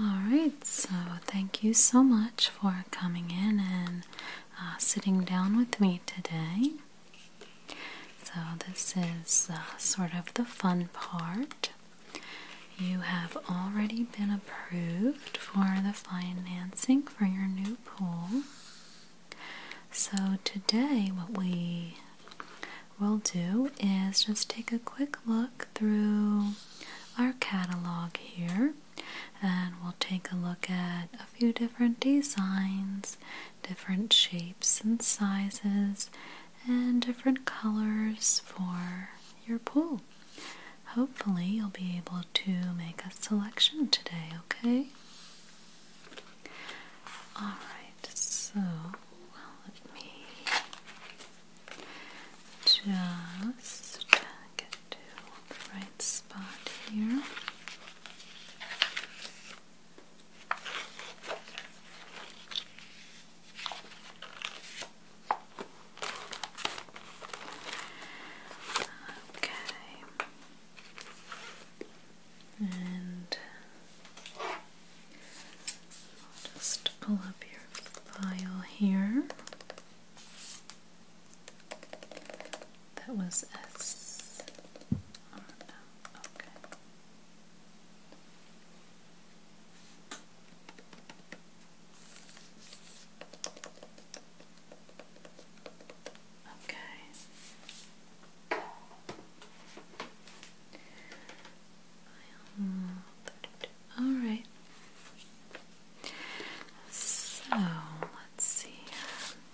Alright, so thank you so much for coming in and uh, sitting down with me today. So, this is uh, sort of the fun part. You have already been approved for the financing for your new pool. So, today, what we we'll do is just take a quick look through our catalog here and we'll take a look at a few different designs, different shapes and sizes, and different colors for your pool. Hopefully, you'll be able to make a selection today, okay? Alright, so let me just get to the right spot here. Okay. And I'll just pull up your file here. That was S. Oh, okay. Okay. All right. So let's see.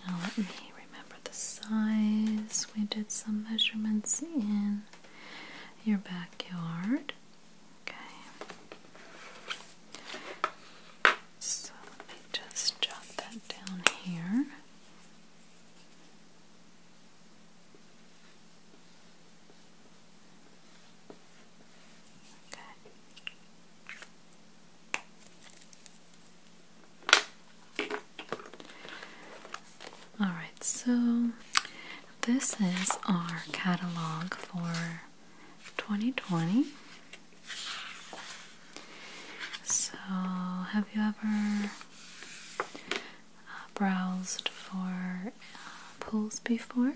Now let me remember the size. We did some measurements in your backyard. Okay. So let me just jot that down here. All right, so this is our catalog for 2020. So, have you ever browsed for uh, pools before.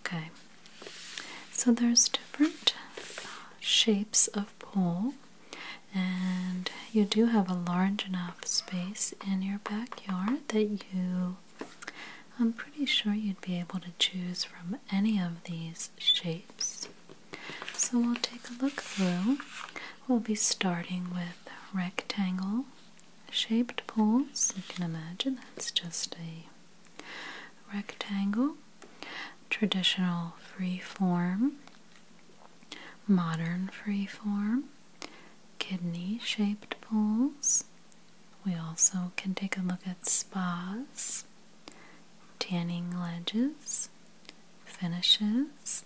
Okay, so there's different uh, shapes of pool, and you do have a large enough space in your backyard that you, I'm pretty sure you'd be able to choose from any of these shapes. So we'll take a look through. We'll be starting with rectangle shaped pools. You can imagine that's just a rectangle. Traditional free form, modern free form, kidney shaped pools. We also can take a look at spas, tanning ledges, finishes,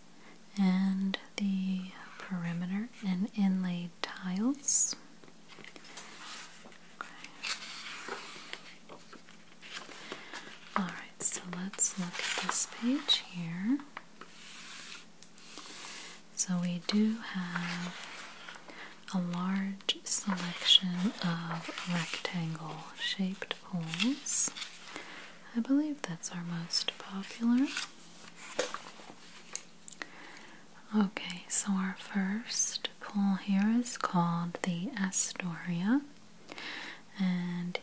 and the perimeter and inlaid tiles. Alright, so let's look at this page here. So we do have a large selection of rectangle shaped bullet I believe that's our most popular. Okay, so our first pool here is called the Astoria, and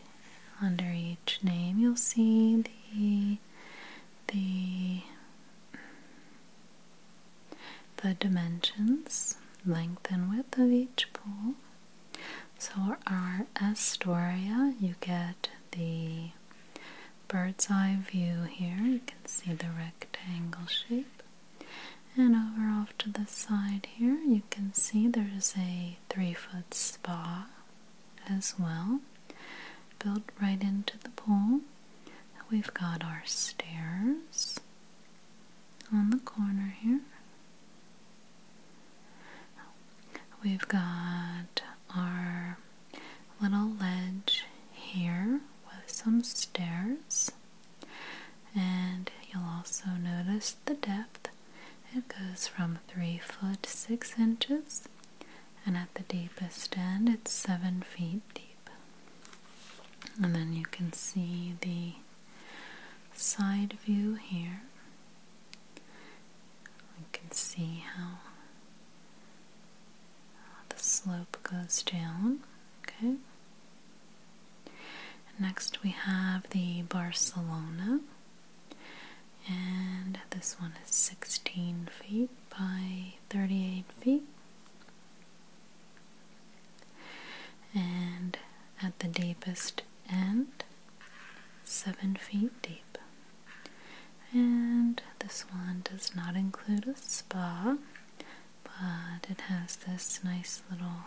under each name you'll see the the the dimensions, length and width of each pool. So, our Astoria, you get the bird's eye view here. You can see the rectangle shape. And over off to the side here, you can see there's a three foot spa as well, built right into the pool. We've got our stairs on the corner here. We've got our little ledge here with some stairs, and you'll also notice the depth. It goes from 3 foot 6 inches, and at the deepest end, it's 7 feet deep. And then you can see the side view here. We can see how the slope goes down. Okay. Next, we have the Barcelona, and this one is 16 feet by 38 feet. And at the deepest and 7 feet deep. And this one does not include a spa, but it has this nice little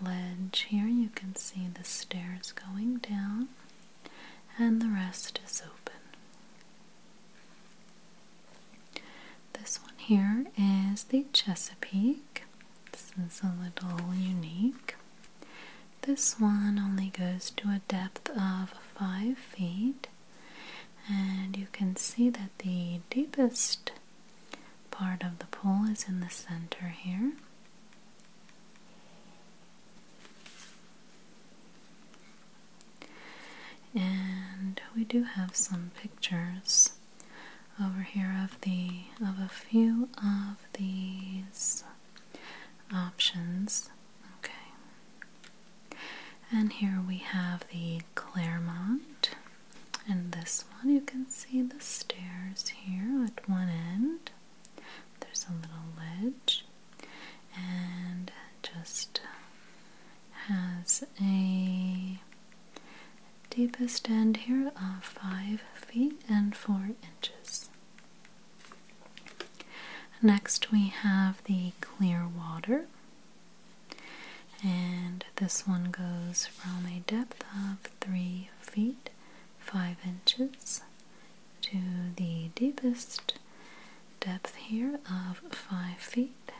ledge here. You can see the stairs going down, and the rest is open. This one here is the Chesapeake, this is a little unique. This one only goes to a depth of 5 feet, and you can see that the deepest part of the pool is in the center here. And we do have some pictures over here of the of a few of these options. Okay. And here we have the Claremont. And this one you can see the stairs here at one end. There's a little ledge and just has a deepest end here of 5 feet and 4 inches. Next we have the clear water and this one goes from a depth of 3 feet 5 inches to the deepest depth here of 5 feet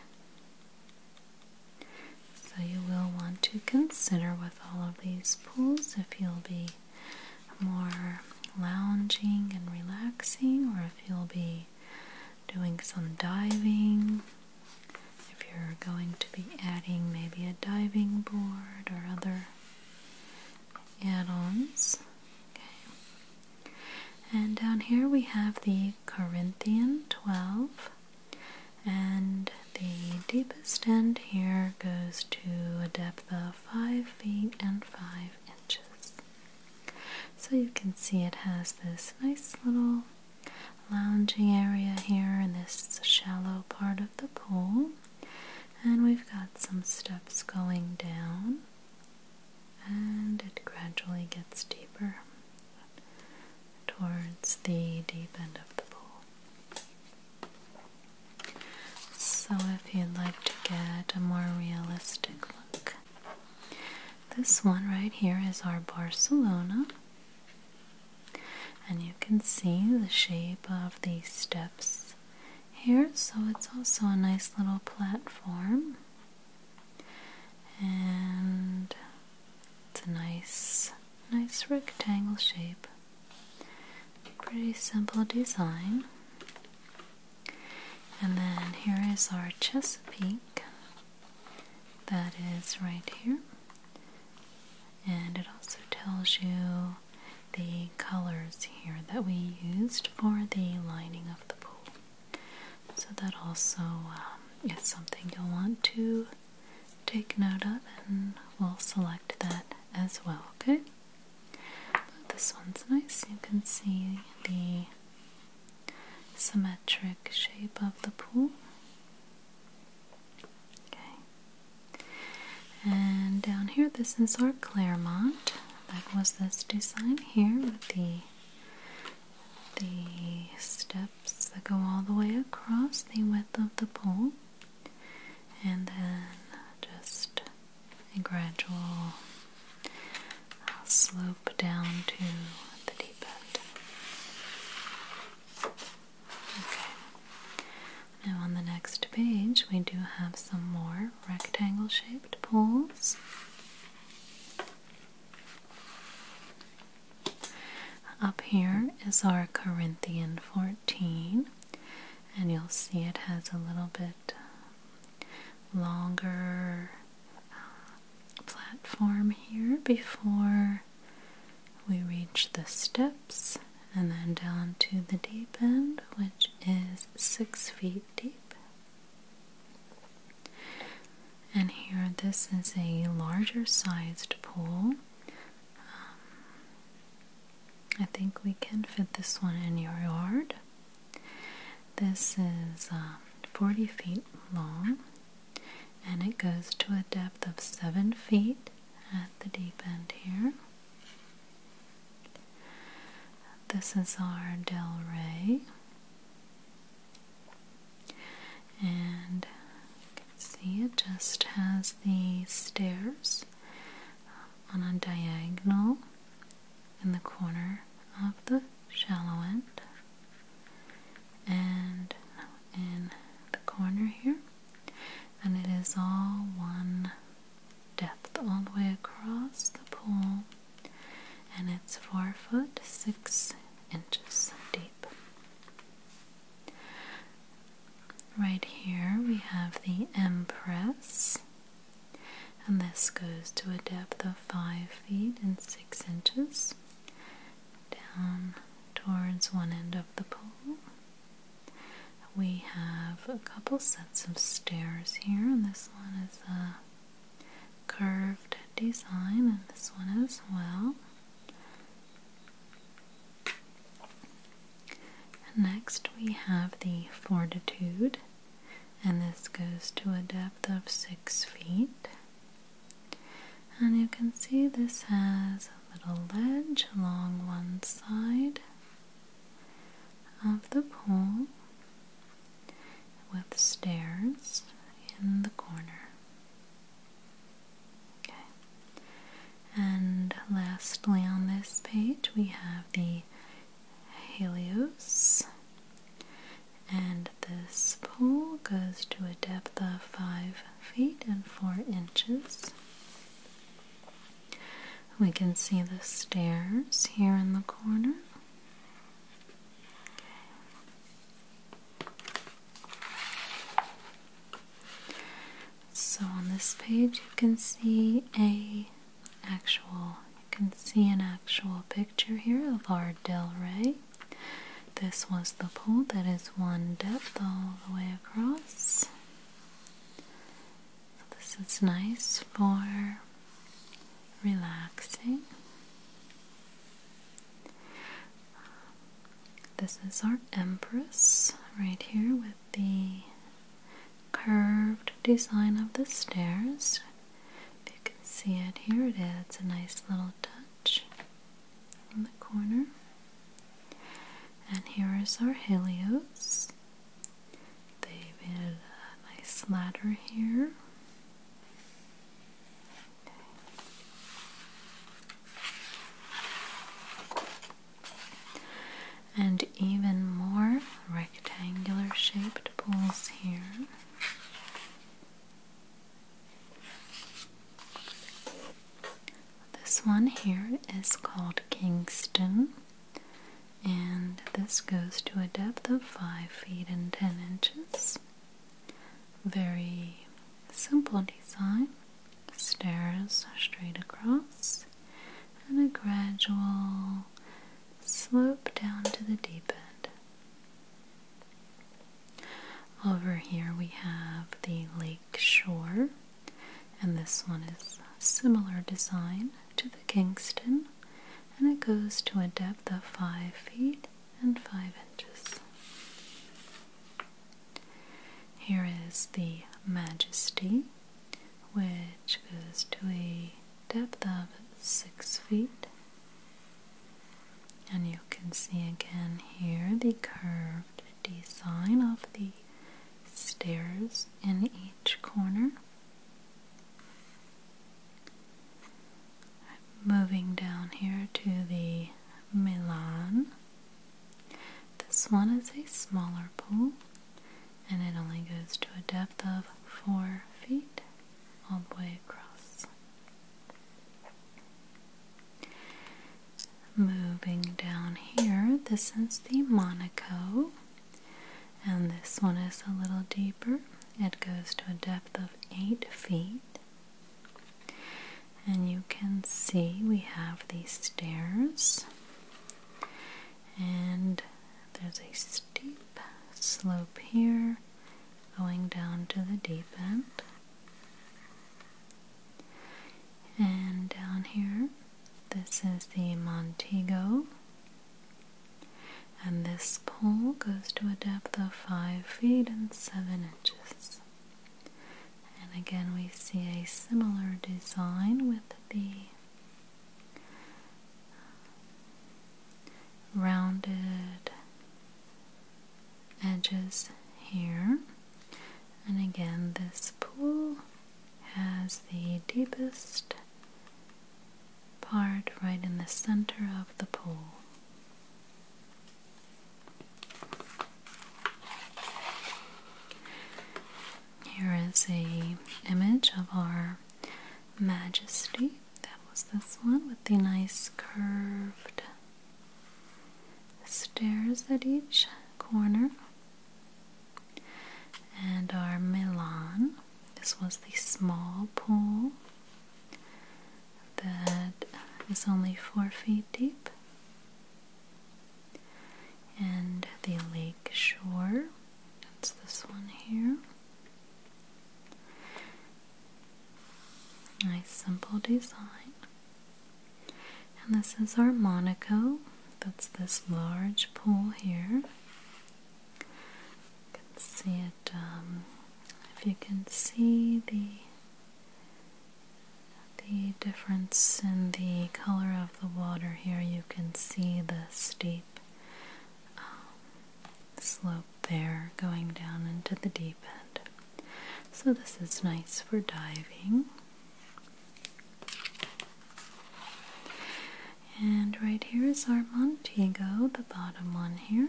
so you will want to consider with all of these pools if you'll be more lounging and relaxing or if you'll be doing some diving. If you're going to be adding maybe a diving board or other add-ons. Okay. And down here we have the Corinthian 12 and the deepest end here goes to a depth of 5 feet and 5 inches. So you can see it has this nice little lounging area here in this shallow part of the pool. And we've got some steps going down, and it gradually gets deeper towards the deep end of the pool. So, if you'd like to get a more realistic look, this one right here is our Barcelona, and you can see the shape of the steps here, so it's also a nice little platform. And it's a nice, nice rectangle shape. Pretty simple design. And then here is our Chesapeake that is right here. And it also tells you the colors here that we used for the lining of the pool. So that also um, is something you'll want to take note of, and we'll select that as well, okay? this one's nice. You can see the symmetric shape of the pool. Okay. And down here, this is our Claremont. That was this design here with the the steps that go all the way across the width of the pole and then just a gradual uh, slope down to the deep end. Okay. Now on the next page we do have some more rectangle shaped pools. Up here is our Corinthian 14 and you'll see it has a little bit um, longer uh, platform here before we reach the steps and then down to the deep end, which is six feet deep. And here, this is a larger sized pool. Um, I think we can fit this one in your yard. This is um, 40 feet long and it goes to a depth of 7 feet at the deep end here. This is our Del Rey. And you can see it just has the stairs um, on a diagonal in the corner of the shallow end and in the corner here and it is all one depth all the way across the pool and it's four foot six inches deep Right here we have the Empress, and this goes to a depth of 5 feet and 6 inches down towards one end of the pool. We have a couple sets of stairs here, and this one is a curved design, and this one as well. Next we have the fortitude, and this goes to a depth of six feet. And you can see this has a little ledge along one side of the pool with stairs in the corner. Okay. And lastly, on this page, we have the Helios, and this pool goes to a depth of 5 feet and 4 inches. We can see the stairs here in the corner. So on this page you can see a actual you can see an actual picture here of our Del Rey. This was the pool that is one depth all the way across. So this is nice for relaxing. This is our Empress right here with the curved design of the stairs. If you can see it here, it adds a nice little touch in the corner. And here is our Helios. They've added a nice ladder here and even more rectangular shaped pools here. This one here is called Kingston, and this goes to a depth of 5 feet and 10 inches. Very simple design, stairs straight across and a gradual slope down to the deep end. Over here we have the lake shore, and this one is similar design to the Kingston, and it goes to a depth of 5 feet and 5 inches. Here is the Majesty which goes to a depth of 6 feet. And you can see again here the curved design of the stairs in each corner. Moving down here to the Milan this one is a smaller pool and it only goes to a depth of 4 feet all the way across. Moving down here, this is the Monaco, and this one is a little deeper. It goes to a depth of 8 feet. And you can see we have these stairs, and there's a steep slope here going down to the deep end. And down here, this is the Montego. And this pole goes to a depth of 5 feet and 7 inches. And again, we see a similar design with the rounded edges here and again this pool has the deepest part right in the center of the pool here is a image of our Majesty. That was this one with the nice curved stairs at each corner. And our Milan. This was the small pool that is only four feet deep. And the lake shore that's this one here. Nice simple design. And this is our Monaco. That's this large pool here. You can see it, um, if you can see the the difference in the color of the water here, you can see the steep um, slope there going down into the deep end. So, this is nice for diving. And right here is our Montego, the bottom one here.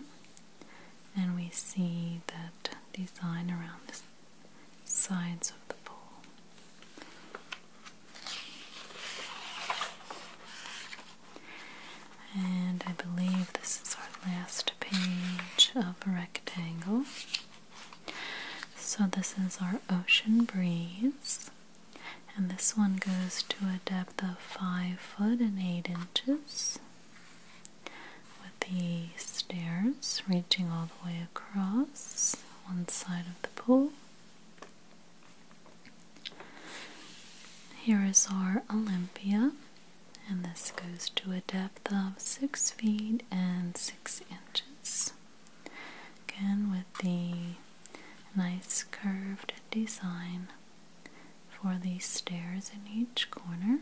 And we see that design around the sides of the pool. And I believe this is our last page of Rectangle. So, this is our Ocean Breeze, and this one goes to a depth of 5 foot and 8 inches with the stairs reaching all the way across one side of the pool. Here is our Olympia, and this goes to a depth of 6 feet and 6 inches. Again, with the nice curved design for the stairs in each corner.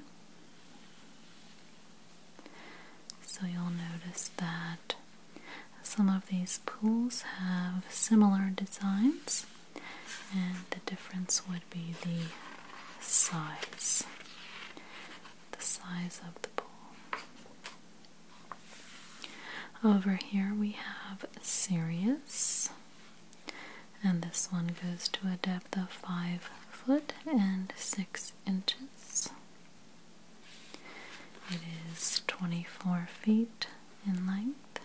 So you'll notice that some of these pools have similar designs, and the difference would be the size. The size of the pool. Over here we have Sirius, and this one goes to a depth of 5 foot and 6 inches. It is 24 feet in length,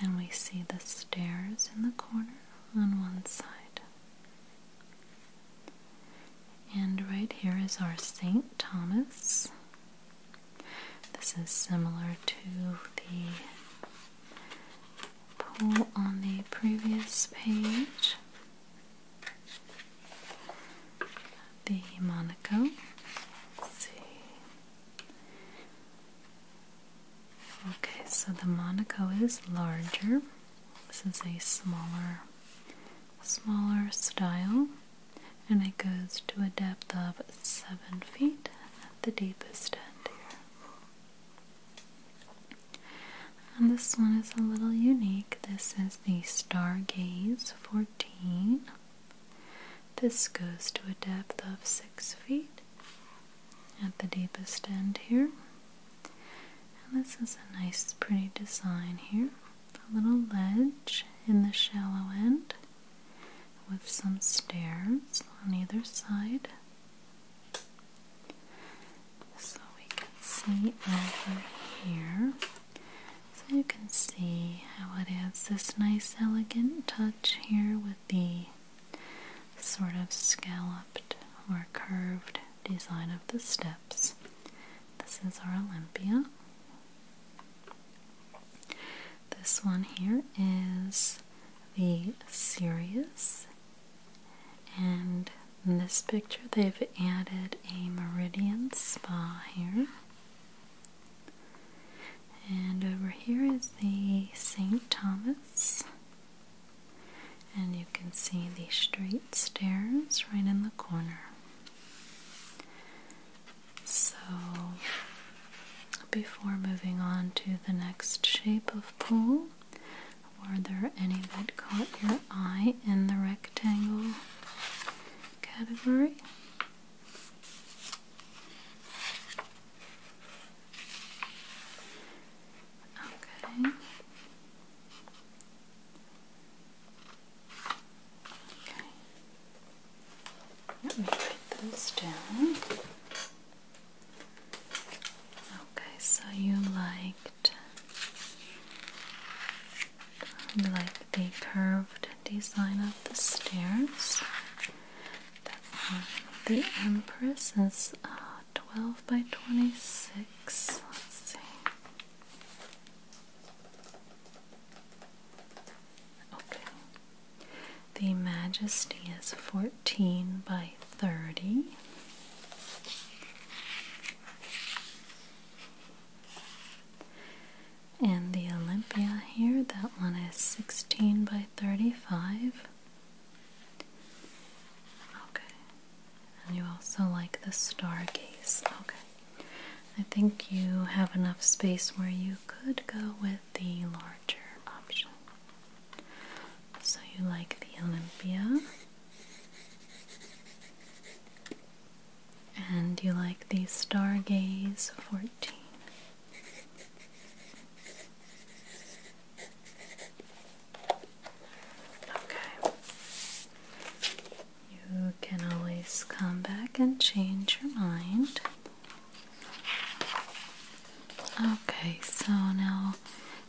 and we see the stairs in the corner on one side. And right here is our St. Thomas. This is similar to the pole on the previous page the Monaco. Okay, so the Monaco is larger. This is a smaller, smaller style, and it goes to a depth of seven feet at the deepest end here. And this one is a little unique. This is the Stargaze 14. This goes to a depth of 6 feet at the deepest end here. And this is a nice, pretty design here. A little ledge in the shallow end with some stairs on either side. So we can see over here. So you can see how it adds this nice elegant touch here with the sort of scalloped or curved design of the steps. This is our Olympia. This one here is the Sirius. And in this picture, they've added a meridian spa here. And over here is the St. Thomas. And you can see the straight stairs right in the corner. So, before moving on to the next shape of pool, were there any that caught your eye in the rectangle category? Okay. Okay. Let me write those down. Okay, so you liked like the curved design of the stairs. The Empress is uh, 12 by 26. Let's see. Okay. The Majesty is 14 by 30. And the Olympia here, that one is 16 by 35. Okay. And you also like the Stargaze. Okay. I think you have enough space where you could go with the larger option. So you like the Olympia. And you like the Stargaze 14. Okay. You can always come back and change your mind. Okay, so now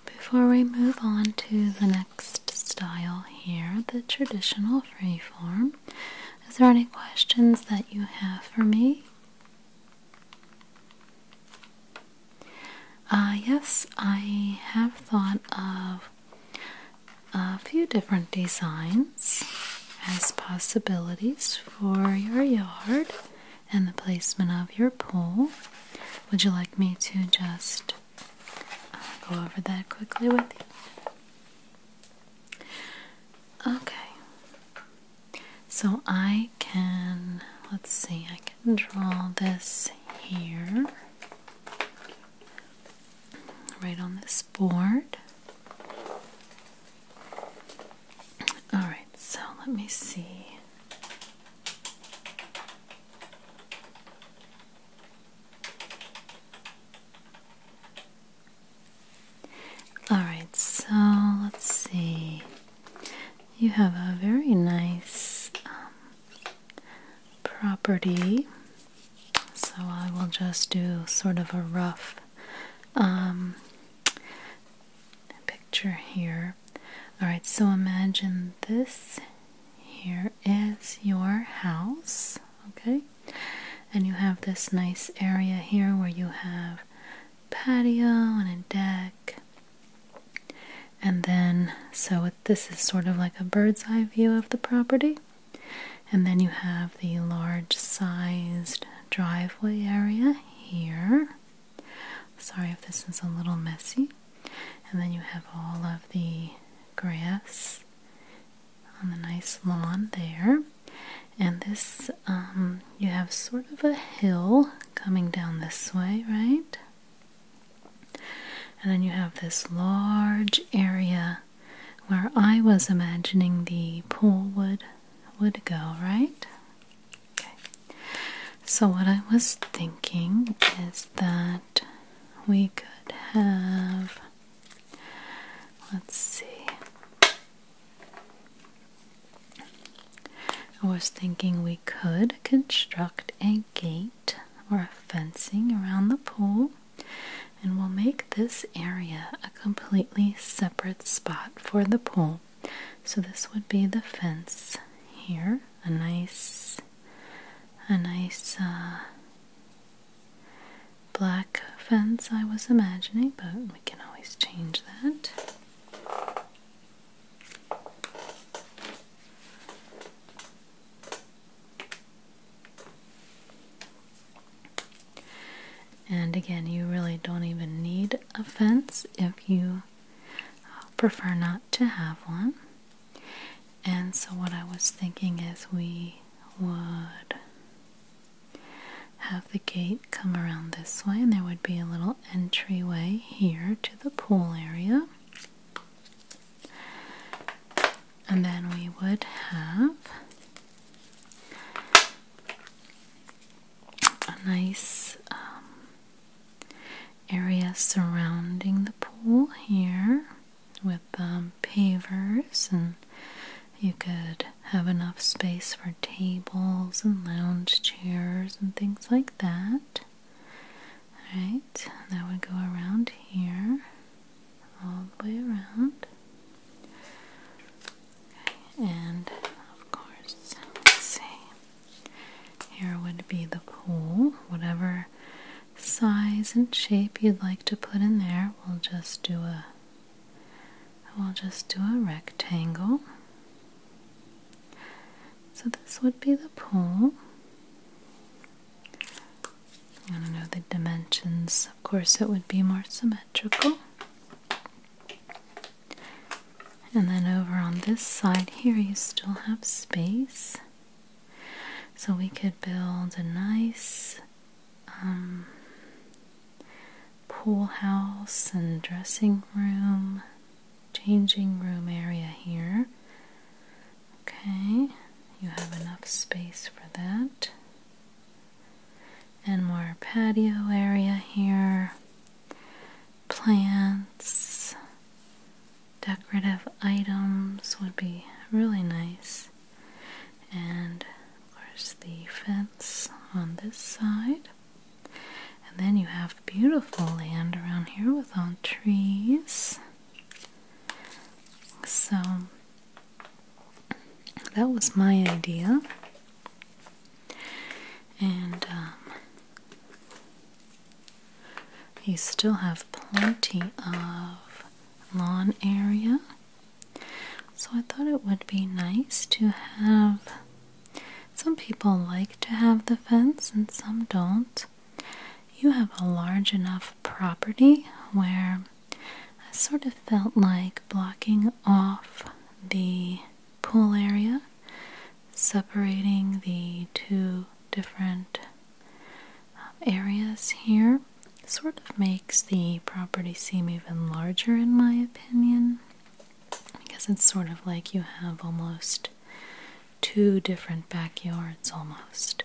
before we move on to the next style here, the traditional freeform, is there any questions that you have for me? Uh, yes, I have thought of a few different designs as possibilities for your yard and the placement of your pool. Would you like me to just uh, go over that quickly with you? Okay. So I can, let's see, I can draw this here, right on this board. Alright, so let me see. Alright, so let's see. You have a very nice um, property. So I will just do sort of a rough um, picture here. Alright, so imagine this here is your house. Okay, and you have this nice area here where you have patio and a deck and then so this is sort of like a bird's eye view of the property and then you have the large sized driveway area here sorry if this is a little messy and then you have all of the grass on the nice lawn there. And this, um, you have sort of a hill coming down this way, right? And then you have this large area where I was imagining the pool would would go, right? Okay. So what I was thinking is that we could have let's see. I was thinking we could construct a gate or a fencing around the pool, and we'll make this area a completely separate spot for the pool. So this would be the fence here, a nice, a nice uh, black fence I was imagining, but we can always change that. And again, you really don't even need a fence if you uh, prefer not to have one. And so, what I was thinking is we would have the gate come around this way, and there would be a little entryway here to the pool area. And then we would have a nice um, area surrounding the pool here with um, pavers and you could have enough space for tables and lounge chairs and things like that. Alright, that would go around here, all the way around. and of course, see, here would be the pool. Whatever size and shape you'd like to put in there, we'll just do a we'll just do a rectangle. So this would be the pole. I want to know the dimensions. Of course, it would be more symmetrical. And then over on this side here, you still have space. So we could build a nice um, pool house and dressing room, changing room area here. Okay, you have enough space for that. And more patio area here, plants, decorative items would be really nice and of course the fence on this side. And then you have beautiful land around here with all trees. So that was my idea. And um, you still have plenty of lawn area so I thought it would be nice to have. Some people like to have the fence and some don't. You have a large enough property where I sort of felt like blocking off the pool area, separating the two different uh, areas here, sort of makes the property seem even larger in my opinion because it's sort of like you have almost two different backyards almost.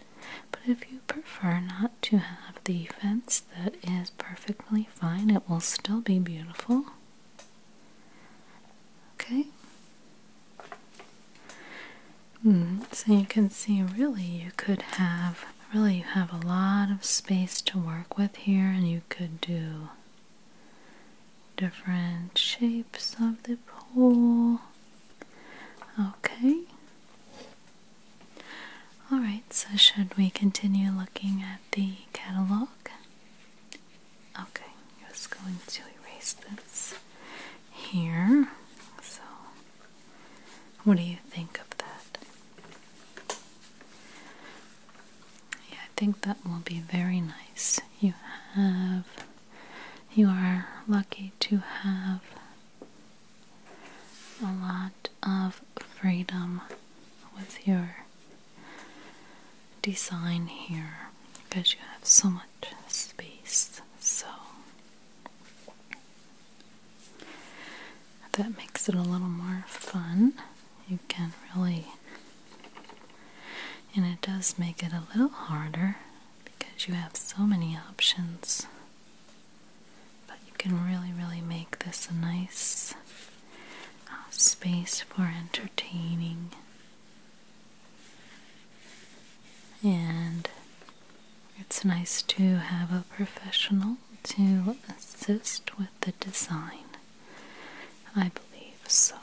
But if you prefer not to have the fence, that is perfectly fine. It will still be beautiful. Okay. Hmm, so you can see, really, you could have Really, you have a lot of space to work with here, and you could do different shapes of the pole. Okay. Alright, so should we continue looking at the catalog? Okay, I'm just going to erase this here. So, what do you think of that? Yeah, I think that will be very nice. You have, you are lucky to have a lot of freedom with your design here because you have so much space. So, that makes it a little more fun. You can really, and it does make it a little harder because you have so many options. But you can really, really make this a nice uh, space for entertaining. And it's nice to have a professional to assist with the design. I believe so.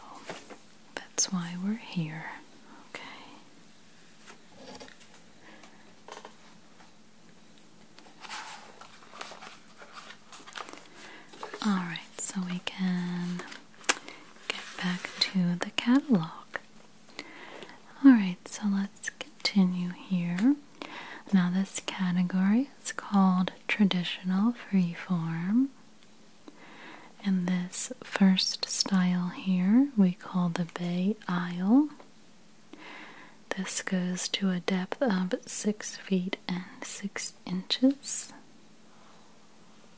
That's why we're here. Okay. Alright, so we can get back to the catalog. Alright, so let's continue here. Now, this category is called traditional freeform. And this first style here we call the Bay aisle. This goes to a depth of 6 feet and 6 inches.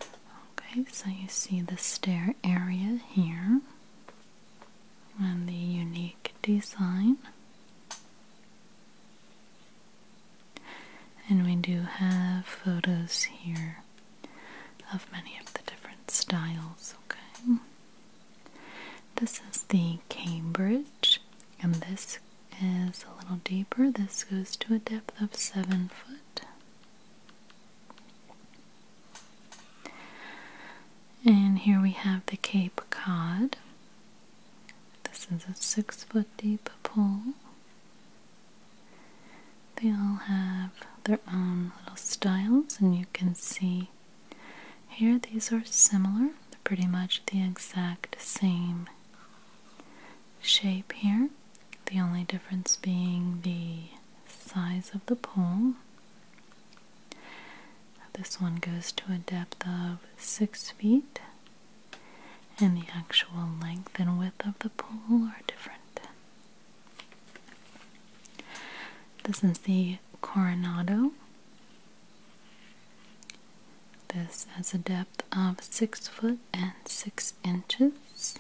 Okay, so you see the stair area here and the unique design. And we do have photos here of many of the different styles, okay? This is the Cambridge, and this is a little deeper. This goes to a depth of seven foot. And here we have the Cape Cod. This is a six foot deep pool. They all have their own little styles, and you can see here these are similar, they're pretty much the exact same shape here. The only difference being the size of the pool. This one goes to a depth of six feet, and the actual length and width of the pole are different. This is the Coronado. This has a depth of six foot and six inches.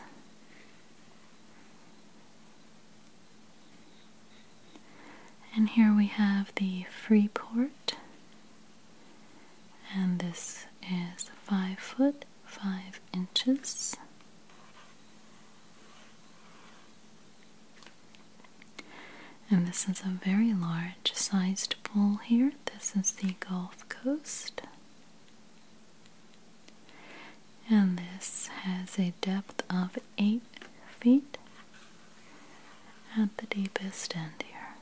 And here we have the Freeport and this is five foot five inches. And this is a very large sized pool here. This is the Gulf Coast. And this has a depth of 8 feet at the deepest end here.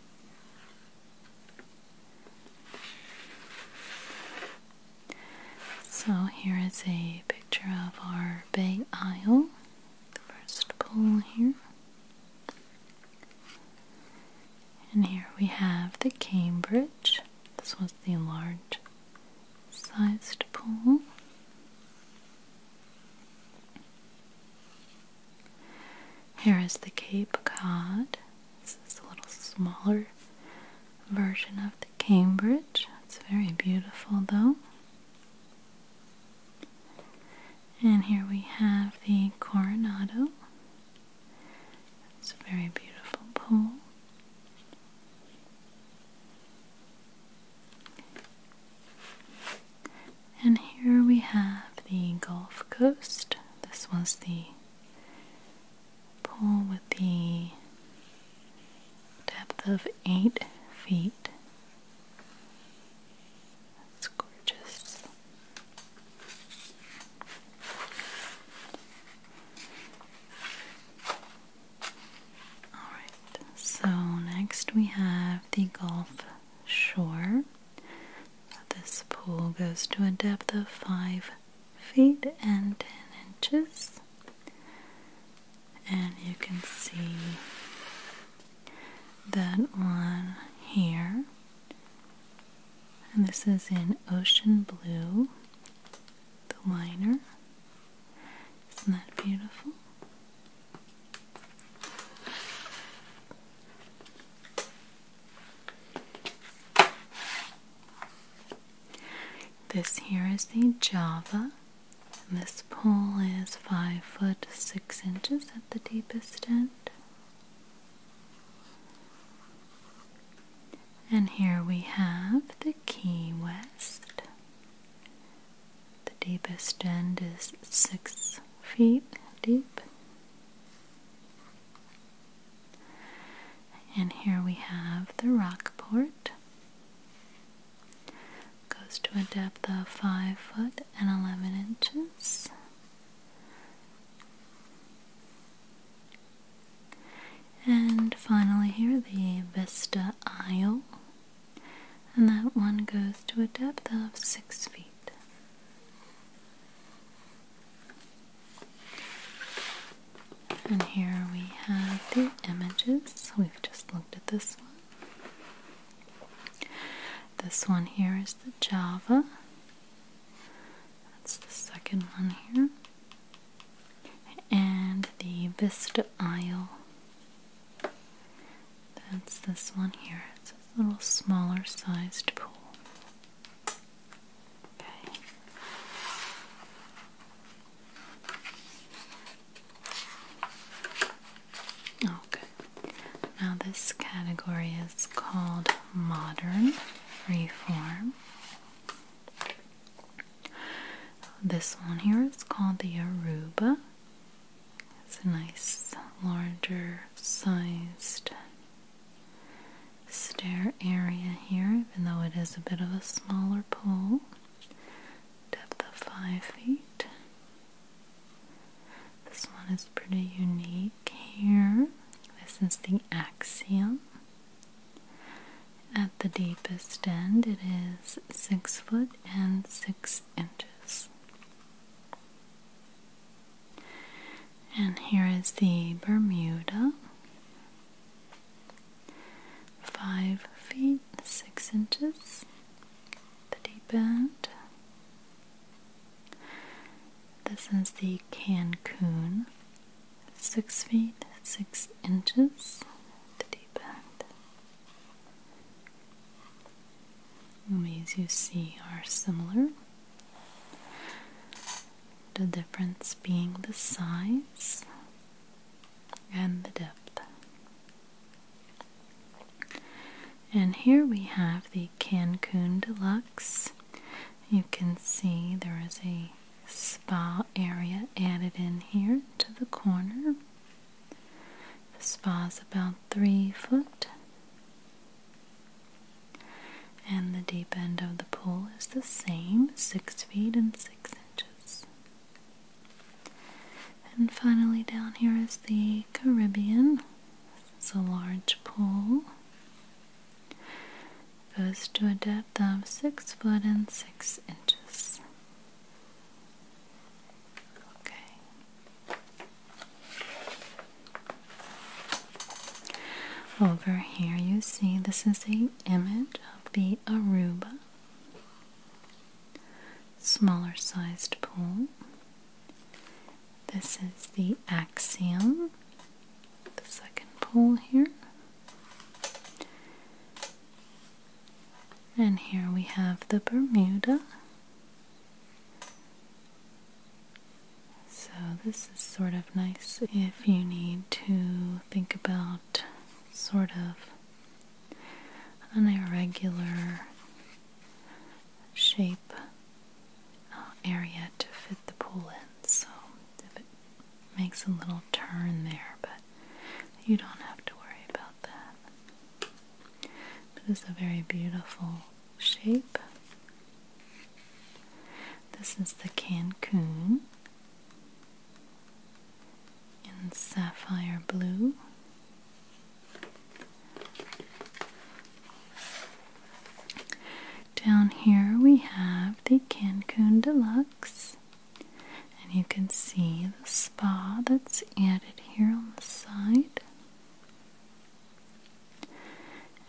So here is a picture of our Bay Isle, the first pole here. And here we have the Cambridge. This was the large sized pole. Here is the Cape Cod. This is a little smaller version of the Cambridge. It's very beautiful though. And here we have the Coronado. It's a very beautiful pool. And here we have the Gulf Coast. This was the pool with the depth of eight feet. That's gorgeous. Alright, so next we have the Gulf Shore this pool goes to a depth of 5 feet and 10 inches. And you can see that one here. And this is in ocean blue, the liner. Isn't that beautiful? This here is the Java. And this pole is five foot six inches at the deepest end. And here we have the Key West. The deepest end is six feet deep. And here we have the Rockport. Goes to a depth of 5 foot and 11 inches. And finally, here the Vista Isle, and that one goes to a depth of 6 feet. And here we have the images. We've just looked at this one. This one here is the Java. That's the second one here. And the Vista Isle. That's this one here. It's a little smaller sized pool. Okay. Okay. Oh, now this category is called modern reform. This one here is called the Aruba it's a nice, larger sized stair area here, even though it is a bit of a smaller pole, Depth of 5 feet. This one is pretty unique here. This is the axiom. At the deepest end, it is 6 foot and 6 inches. And here is the Bermuda. Five feet six inches. The deep end. This is the Cancun. Six feet six inches. The deep end ways you see are similar. The difference being the size and the depth. And here we have the Cancun Deluxe. You can see there is a spa area added in here to the corner. The spa is about three foot and the deep end of the pool is the same, 6 feet and 6 inches. And finally, down here is the Caribbean. It's a large pool. Goes to a depth of 6 foot and 6 inches. Okay, over here you see this is the image of the Aruba smaller sized pool. This is the Axiom, the second pool here. And here we have the Bermuda so, this is sort of nice if you need to think about sort of an irregular shape uh, area to fit the pool in. So, if it makes a little turn there, but you don't have to worry about that. But it's a very beautiful shape. This is the Cancun in sapphire blue. Down here we have the Cancun Deluxe, and you can see the spa that's added here on the side.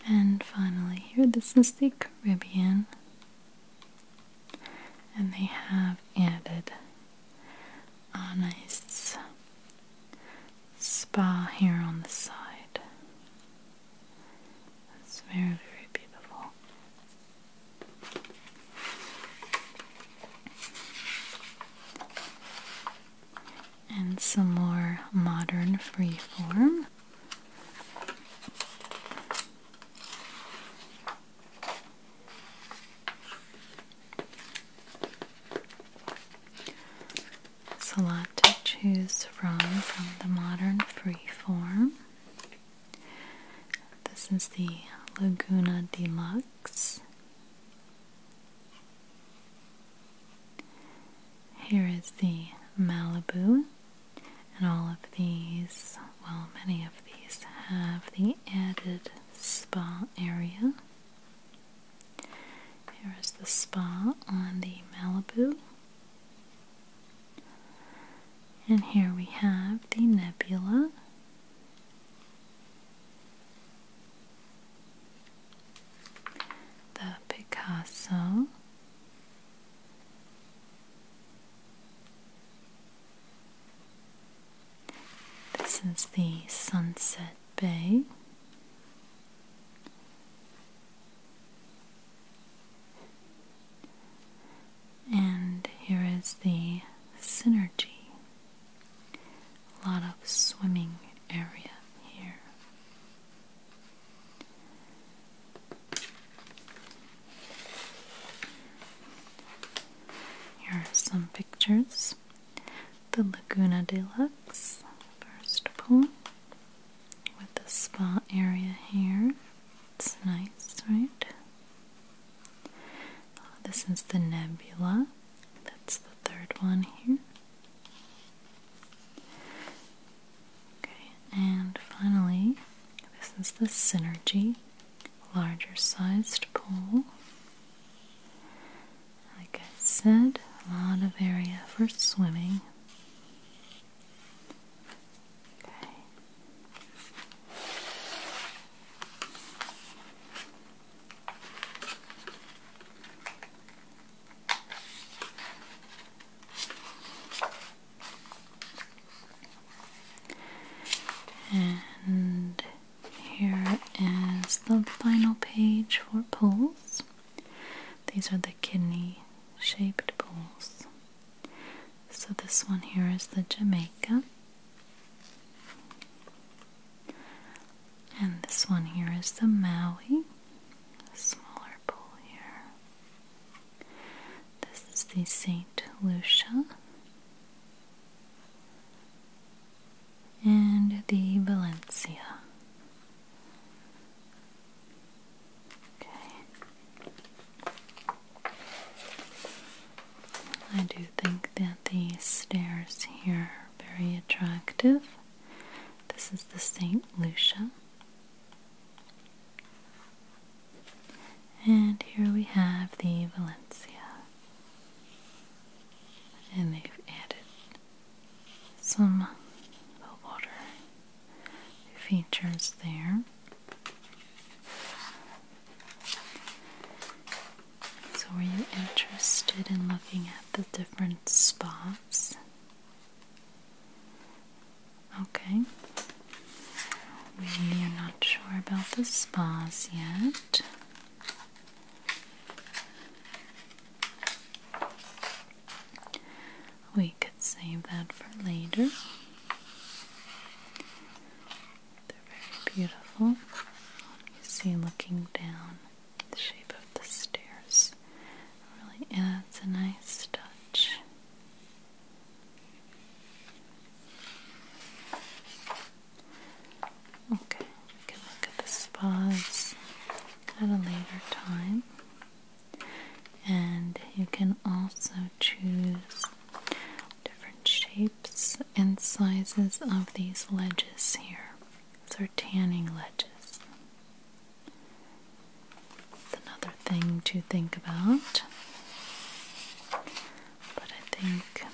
And finally, here this is the Caribbean, and they have added a nice spa here on the side. It's very, very beautiful and some more modern freeform. It's a lot to choose from from the modern freeform. This is the Laguna Deluxe. Here is the Malibu, and all of these, well, many of these have the added spa area. Here is the spa on the Malibu. And here we have the nebula. The Picasso. This is the Sunset Bay. And here is the Synergy. A lot of swimming area here. Here are some pictures. The Laguna Deluxe, first pool, with the spa area here. It's nice, right? Oh, this is the Nebula. That's the third one here. Okay, and finally, this is the Synergy larger sized pool. Like I said, a lot of area for swimming. Okay. And here is the final page for poles. These are the kidney shaped poles. So, this one here is the Jamaica, and this one here is the Maui smaller bowl here. This is the St. Lucia and the Valencia. Okay. I do think that the stairs here are very attractive. This is the St. Lucia. And here we have the Valencia. And they've added some water features there. So, were you interested in looking at the different spots Okay. We are not sure about the spas yet. We could save that for later. They're very beautiful. You see, looking down the shape of the stairs really adds a nice touch. Okay, we can look at the spas at a later time. And you can also choose different shapes and sizes of these ledges here. These are tanning ledges another thing to think about. But I think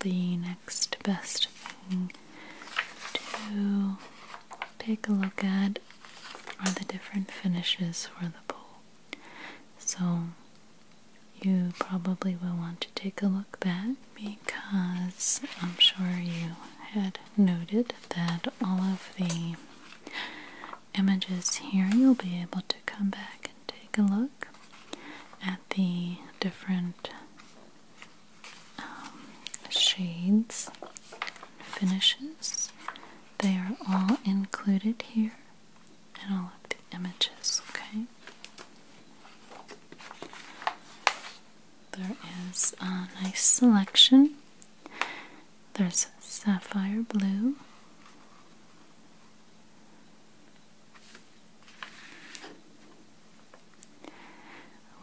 the next best thing to take a look at are the different finishes for the pole. So you probably will want to take a look back because I'm sure you had noted that all of the images here, you'll be able to come back and take a look at the different um, shades finishes. They are all included here in all of the images, okay? There is a nice selection there's sapphire blue.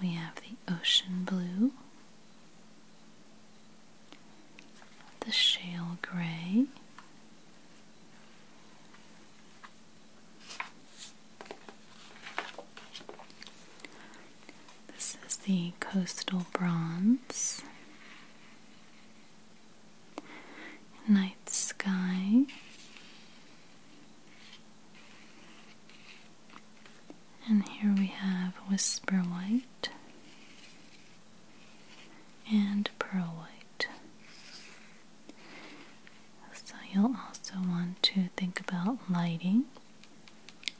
We have the ocean blue, the shale gray, this is the coastal bronze. Night sky. And here we have whisper white and pearl white. So you'll also want to think about lighting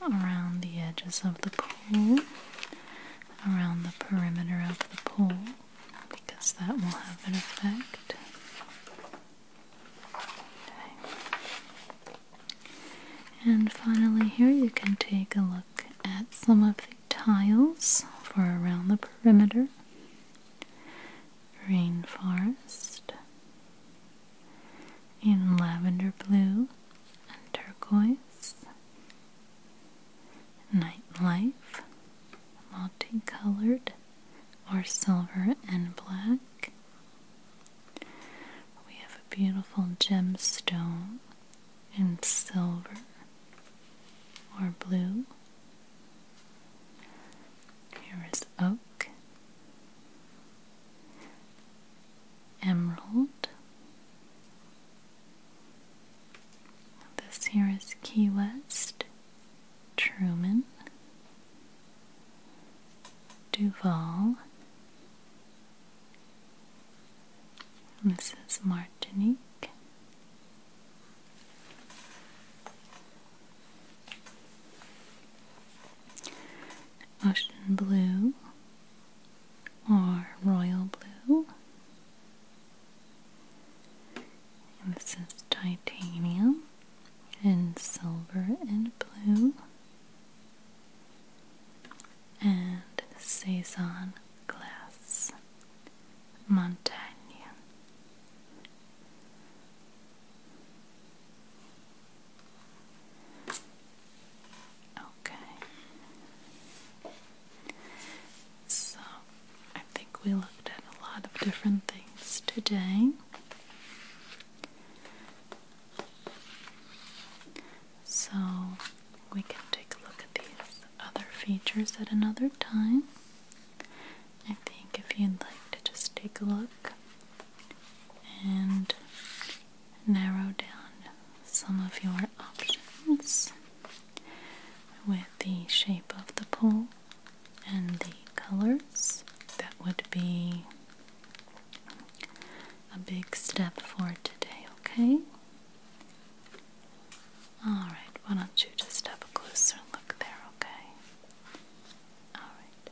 around the edges of the pool, around the perimeter of the pool, because that will have an effect. And finally, here you can take a look at some of the tiles for around the perimeter. Rainforest in lavender blue and turquoise, nightlife, multicolored or silver and black. We have a beautiful gemstone in silver or blue. Here is oak emerald. This here is Key West, Truman, Duval. This is Martinique. Ocean Blue, are royal blue, and this is titanium and silver and blue, and saison glass, montagne. Okay. So, I think we looked at a lot of different things today. So, we can take a look at these other features at another time. I think if you'd like to just take a look and narrow down some of your options with the shape of the pole and the colors. That would be a big step for today, okay? Alright, why don't you just have a closer look there, okay? Alright.